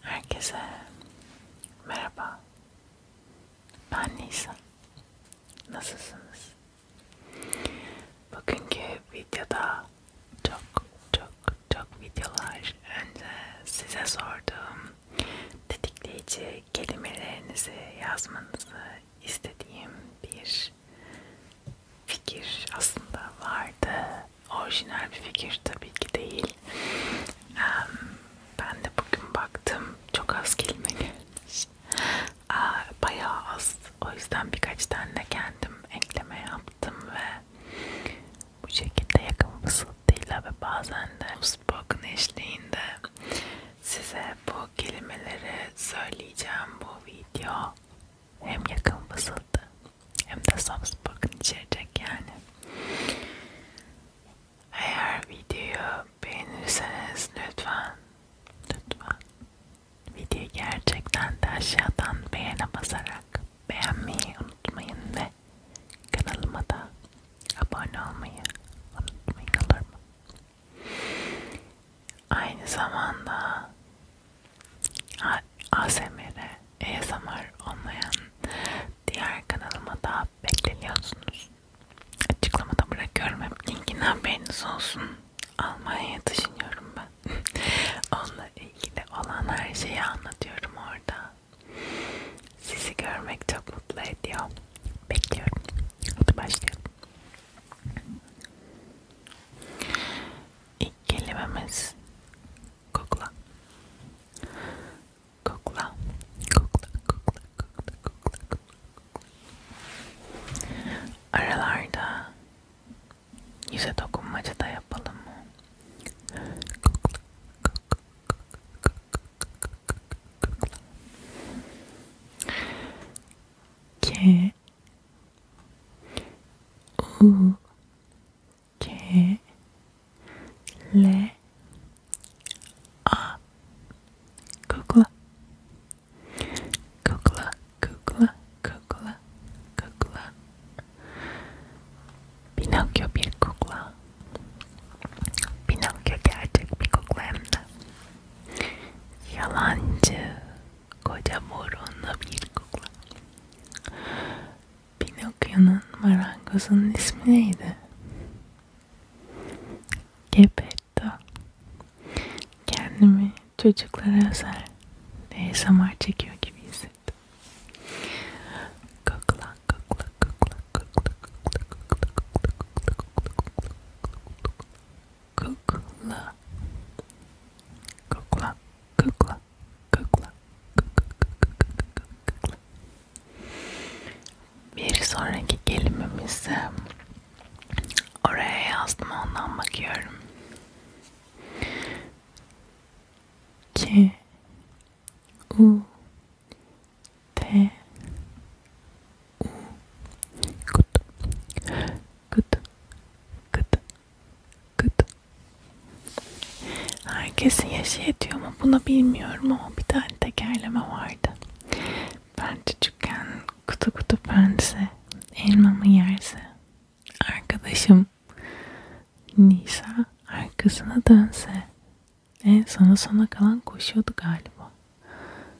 Herkese merhaba. Ben Nisa. Nasılsınız? Bugünkü videoda çok çok çok videolar önce size sorduğum tetikleyici kelimelerinizi yazmanızı istediğim bir fikir aslında vardı orijinal bir fikir tabii ki değil. Ben de bugün baktım çok az kelime gelmiş. Bayağı az. O yüzden birkaç tane kendim ekleme yaptım ve bu şekilde yakın fısıltıyla ve bazen de spoken eşliğinde size bu kelimeleri söyleyeceğim bu video. Hem yakın fısıltı hem de Samsung içerecek yani. Eğer videoyu beğenirseniz lütfen, lütfen videoyu gerçekten de aşağıdan beğene basarak beğenmeyi unutmayın ve kanalıma da abone olmayı unutmayın olur mu? Aynı zamanda ASMR, ASMR olmayan diğer kanalıma da bekleniyorsunuz. Açıklamada bırakıyorum hep linkini haberiniz olsun. Almanya'ya taşınıyorum ben. Onunla ilgili olan her şeyi anlatıyorum orada. Sizi görmek çok mutlu ediyor. Bekliyorum. Hadi başlayalım. İlk kelimemiz kokla. Kokla, kokla, kokla, kokla, kokla, kokla. Aralarda yüze dokunmaca da yapalım mı? Kokla, kokla, kokla, kokla, kokla, kokla. K U K L A Kukla Kukla Kukla Kukla Kukla Pinokyo bir kukla Pinokyo gerçek bir kukla hem de Yalancı koca borunla bir kukla. Pinokyo'nun marangozunun ismi neydi? Gepetto. Kendimi çocuklara özel ASMR çekiyor gibi hissettim. Kukla, kukla, kukla, kukla, kukla, kukla, kukla, kukla, kukla, kukla, kukla, kukla kukla kukla kukla kukla bir sonraki kelimemizi oraya yazdım ondan bakıyorum k u t u kut kut kut Kıt. Herkesin yaşı yetiyor mu buna bilmiyorum ama bir tane tekerleme vardı. Ben çocukken kutu kutu pense elmamı yerse arkadaşım Nisa arkasına dönse en sona sona kalan koşuyordu galiba.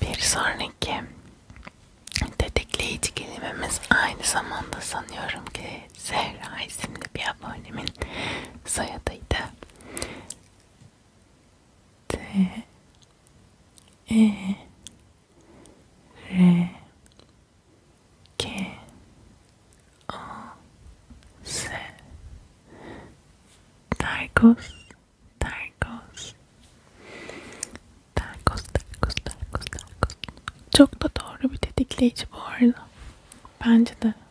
Bir sonraki tetikleyici kelimemiz aynı zamanda sanıyorum ki Zehra isimli bir abonemin soyadıydı. T E R K A S Targos Targos Targos Targos Targos Targos Çok da doğru bir tetikleyici bu arada. Bence de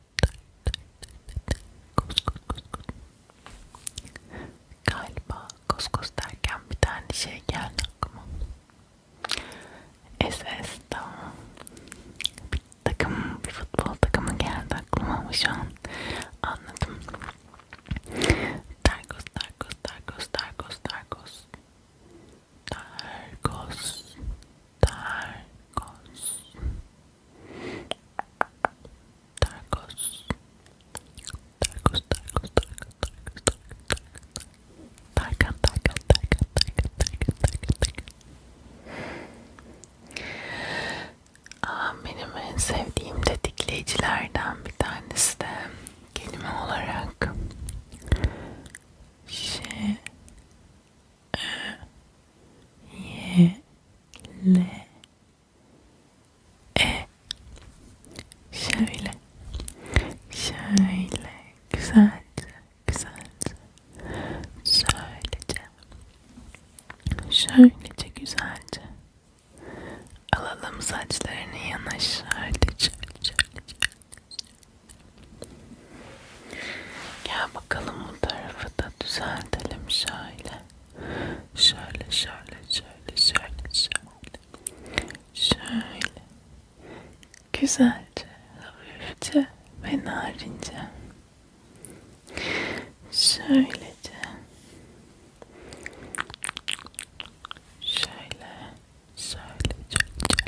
Kus kus kus kus. Galiba kuskus derken bir tane şey geldi aklıma. SS'da takım, bir futbol takımı geldi aklıma ama şu an anladım. Dargos, Dargos, Dargos, Dargos, Dargos. Dargos, Dargos, Tarkos. Tarkos, Tarkos, Tarkos, Tarkos, Tarkos, Tarkan, Tarkan, Tarkan, Tarkan, Tarkan, Tarkan, Tarkan. Aa, benim en sevdiğim tetikleyicilerden bir tanesi de kelime olarak şey y l e şöyle şöyle güzelce güzelce söylece şöylece güzelce alalım saçlarını yana şöyle şöyle şöyle, şöyle. Gel bakalım bu tarafı da düzeltelim şöyle. Şöyle şöyle şöyle şöyle şöyle. Şöyle. Güzelce, hafifçe ve narince. Şöylece. Şöyle, şöyle, şöyle, şöyle.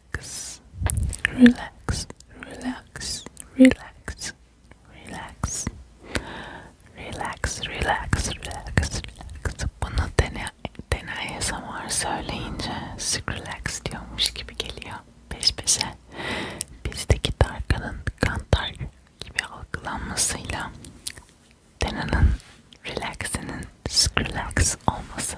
relax, relax, relax, relax, relax, relax, relax, relax, relax. Bunu dene, deneye samar söyleyince relax diyormuş gibi geliyor peş peşe. Bizdeki darkanın kantar gibi algılanmasıyla denanın relax'inin relax olması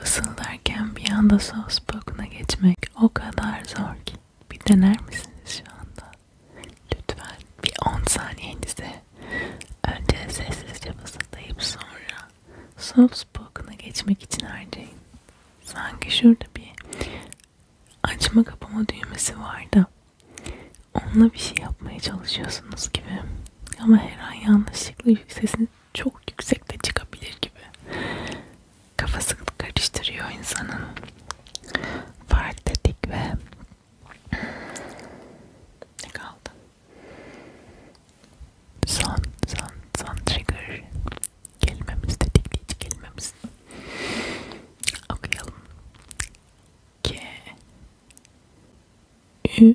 Fısıldarken bir anda sos bokuna geçmek o kadar zor ki. Bir dener misiniz şu anda? Lütfen bir 10 saniyenize önce sessizce fısıldayıp sonra sos bokuna geçmek için harcayın. Sanki şurada bir açma kapama düğmesi var da onunla bir şey yapmaya çalışıyorsunuz gibi. Ama her an yanlışlıkla sesini çok yüksekte çıkabilir gibi. Kafası karıştırıyor insanın. Fark dedik ve ne kaldı? Son, son, son trigger kelimemiz tetikleyici kelimemiz. Okuyalım. K Ü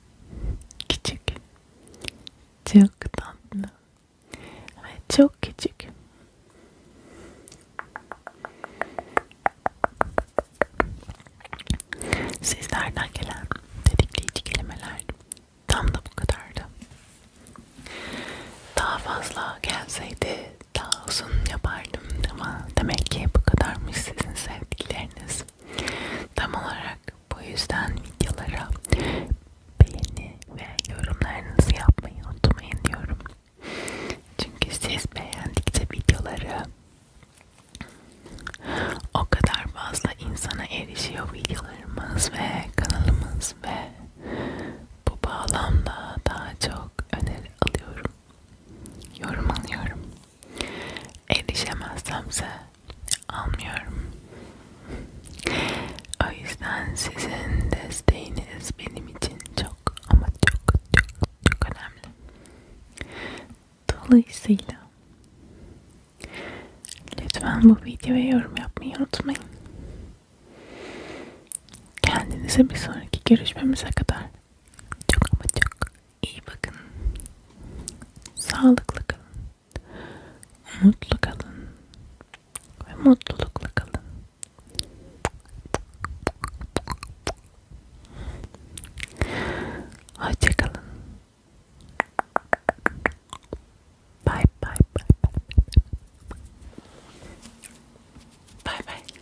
Küçük. Çok tatlı. Ve çok küçük. Sizlerden gelen tetikleyici kelimeler tam da bu kadardı. Daha fazla gelseydi daha uzun yapardım ama demek ki bu kadarmış sizin sevdikleriniz. Tam olarak bu yüzden videolara beğeni ve yorumlarınızı yapmayı unutmayın diyorum. Çünkü siz beğendikçe videoları o kadar fazla insana erişiyor videolarımız ve kanalımız ve bu bağlamda daha çok öneri alıyorum. Yorum alıyorum. Erişemezsemse almıyorum. O yüzden sizin desteğiniz benim için çok ama çok çok çok önemli. Dolayısıyla lütfen bu videoya yorum yapmayı unutmayın. Kendinize bir sonraki görüşmemize kadar çok ama çok iyi bakın. Sağlıklı kalın. Mutlu kalın. Ve mutlulukla kalın. Hoşça kalın. Bye bye bye bye. Bye bye.